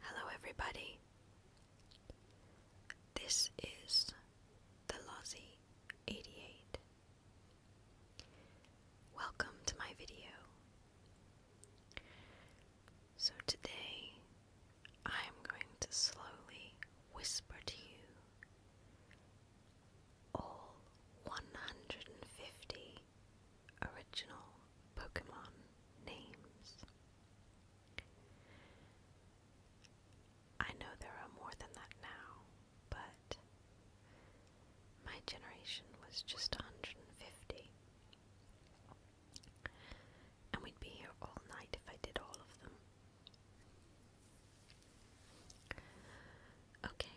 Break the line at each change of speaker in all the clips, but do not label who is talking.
Hello, everybody. This is the Lozzie 88. Welcome to my video. So, today I am going to slowly whisper to you all 150 original Pokemon names. I know there are more than that now, but my generation was just 150. And we'd be here all night if I did all of them. Okay.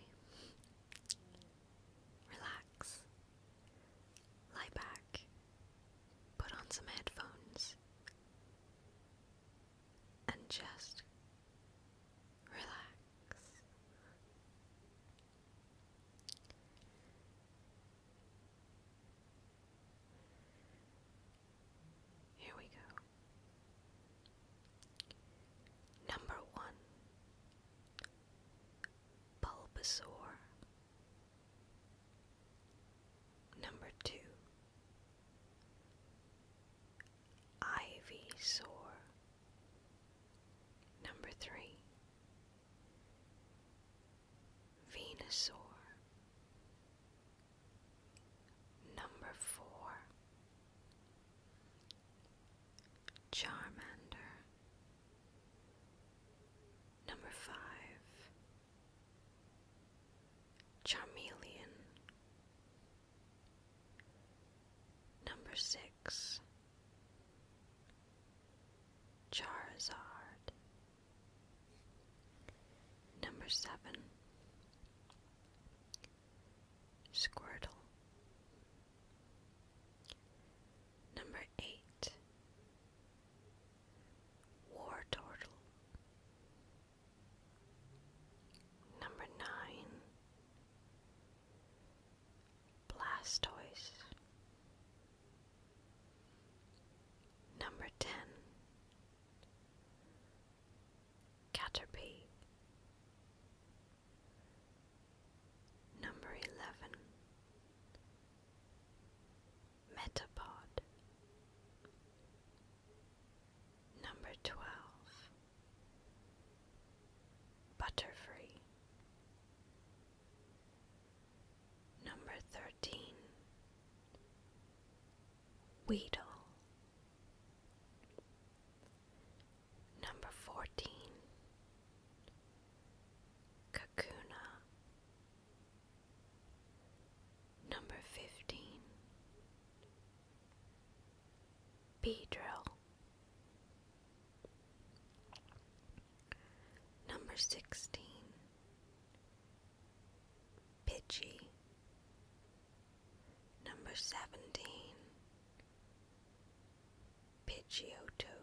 Relax. Lie back. Put on some headphones. And just relax. Here we go. Number one Bulbasaur. Number two, Ivysaur. Number three, Venusaur. Number four, Charmander. Number five, Charmeleon. Number six, Charizard. Number seven, Squirtle. Number eight War Number nine Blastoise. Number ten Caterpie. Number 11 Metapod. Number 12 Butterfree. Number 13 Weedle. Number 14 Kakuna Number 15 Beedrill Number 16 Pidgey Number 17 Pidgeotto.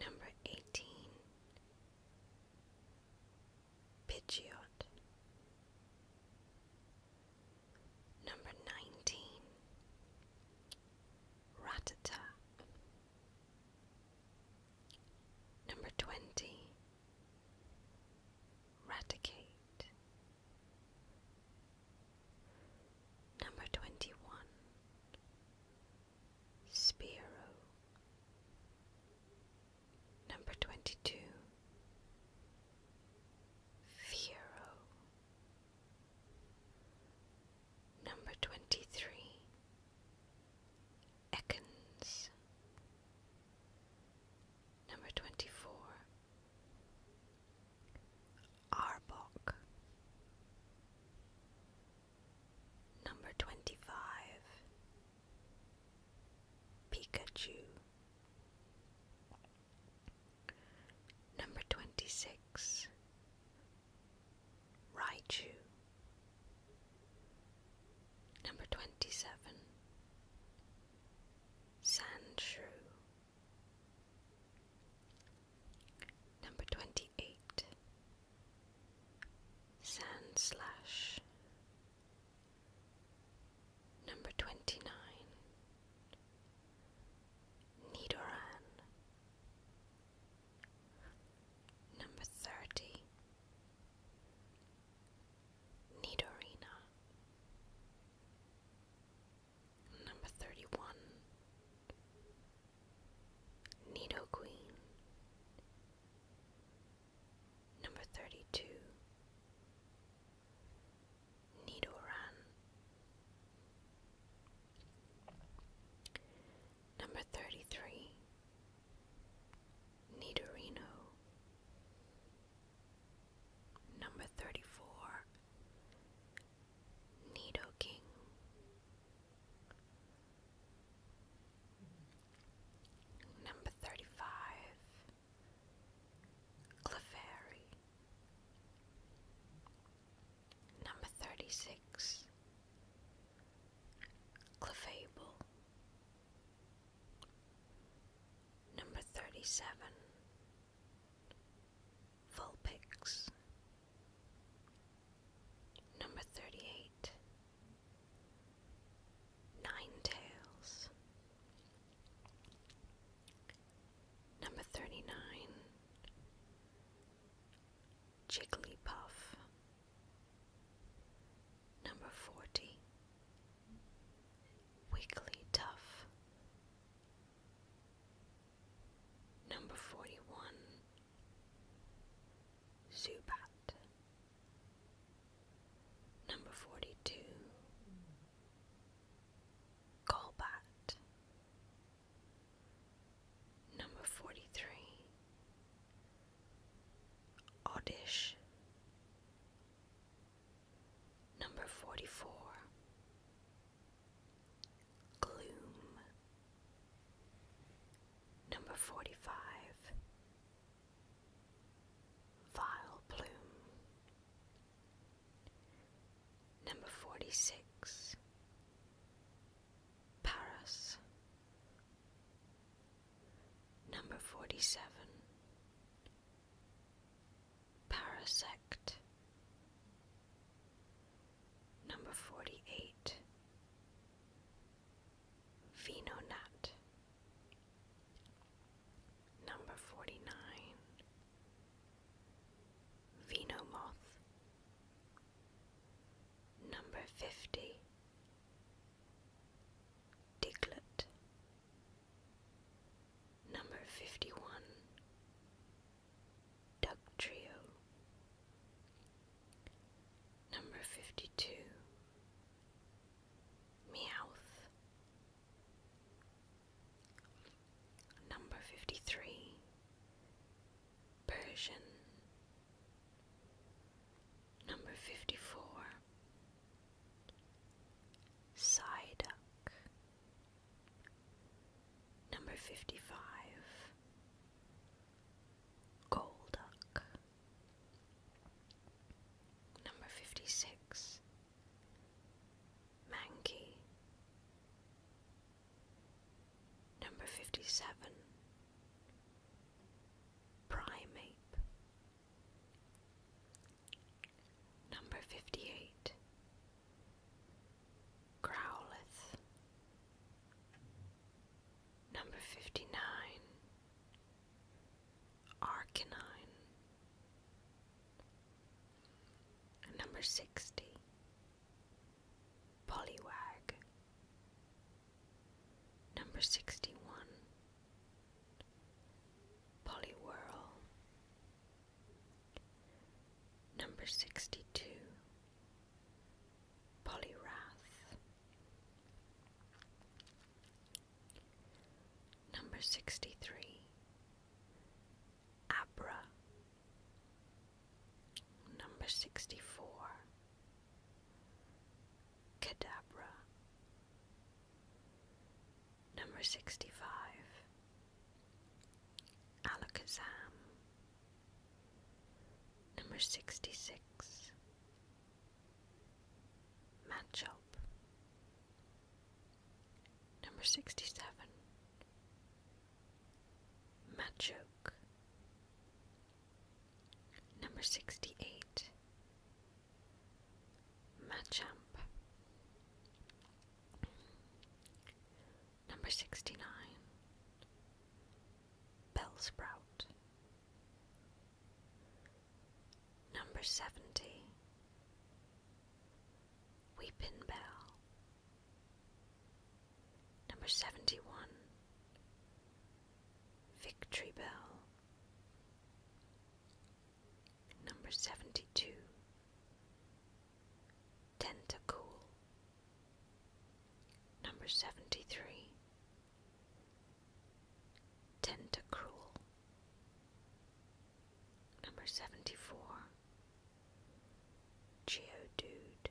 Number 18 Pidgeot. Number 19 Ratata. Number 20 Eradicate. Number 21. Spiro. Number 22. Fiero. Number 23. Ekans. Number 24. Arbok. Number 25. Pikachu. Number 26. Raichu. Number 27. Sand Number twenty eight. Sand slash. Number twenty nine. Nidoran. Number thirty. Nidorina. Number 31. Nidoqueen. Number 32. Nidoran. Number 33. Nidorino. Number 34 Nido Number 35 Clefairy. Number 36 Clefable. Number 37 Vulpix. Number 38 Nine Tails. Number 39 Jigglypuff. Number 40. Wiggly Tough. Number 41. Zubat. Number 42. Golbat. Number 43. Oddish. Number 44. Gloom. Number 45. Vile Plume. Number 46. Paris. Number 47 Parasect. Number 48 Venonat. Number 49 Venomoth. Number 50 Diglett. Number 51. Duck Trio. Number 52. Meowth. Number 53. Persian. Number 54 Psyduck. Number 55 gold duck. Number 56 Mankey. Number 57 Primeape. Number 58. Growlithe. Number 59. Arcanine. Number 60. Polywag. Number 61 Polywhirl. Number 62 Polyrath. Number 63 Abra. Number 64 Cadabra. Number 65. Alakazam. Number 66. Matchup. Number 67. Machoke. Number 68 Machamp. Number 69 bell sprout. Number 70 weeping Bell. Number 71 Victory Bell. Number 72. Tentacool. Number 73. Tentacruel. Number 74. Geodude.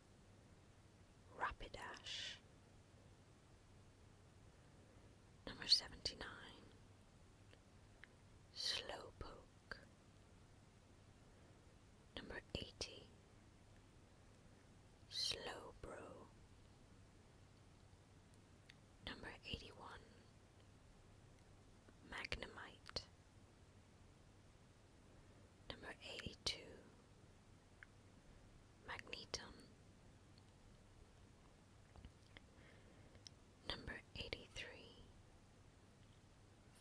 Rapidash. Number 79. Slowpoke. Number 80. Slowbro. Number 81. Magnemite. Number 82. Magnetum. Number 83.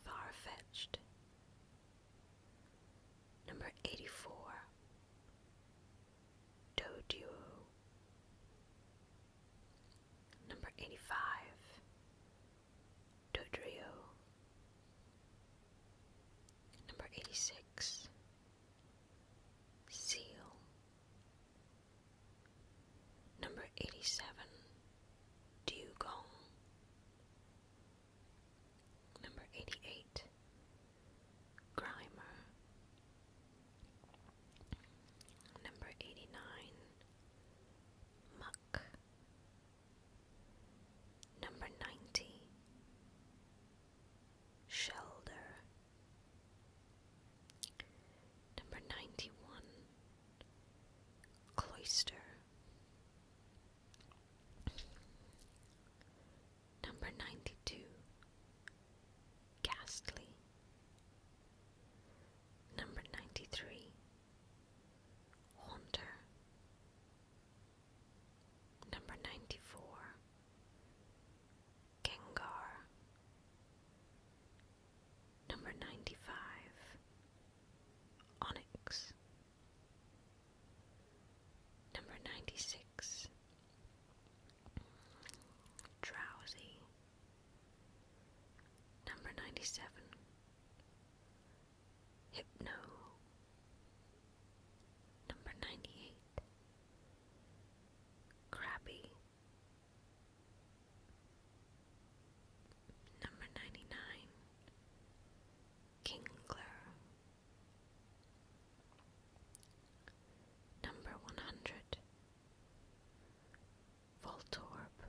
Far fetched. Number 84. Doduo. Number 85. Dodrio. Number 86 Seal. Number 87 Dugong. Number 88 Grimer. Number 89 Muck. Number 90 Shelter. Number 91 Cloister. Number 92 Ghastly. Number 93 Haunter. Number 94 Gengar. Number 95 Onyx. Number 96 Drowsy. Number 97 Hypno. Number 98. Crabby. Number 99. Kingler. Number 100. Voltorb.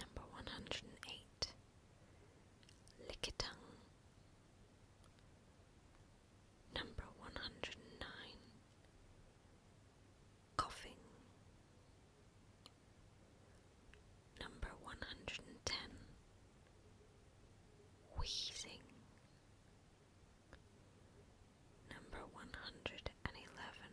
Number one hundred and eight Lickitung. Number one hundred and nine Coughing. Number one hundred and ten Wheezing. Number one hundred and eleven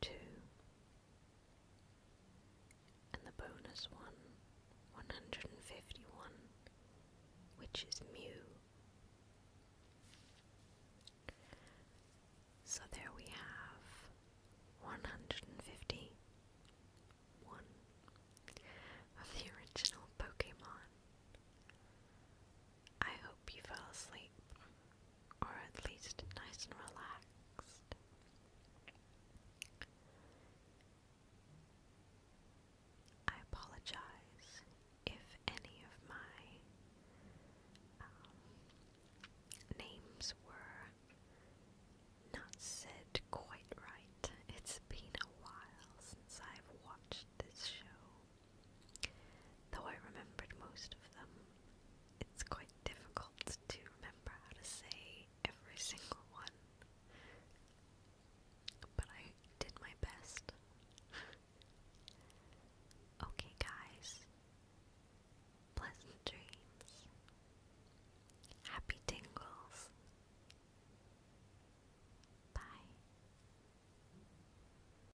two And the bonus one, 151, which is Mew. So there we have 151 of the original Pokemon. I hope you fell asleep, or at least nice and relaxed. I apologize if any of my um, names were not said quite right. It's been a while since I've watched this show. Though I remembered most of them, it's quite difficult to remember how to say every single one. But I did my best. okay, guys. Pleasant dreams. Happy tingles. Bye.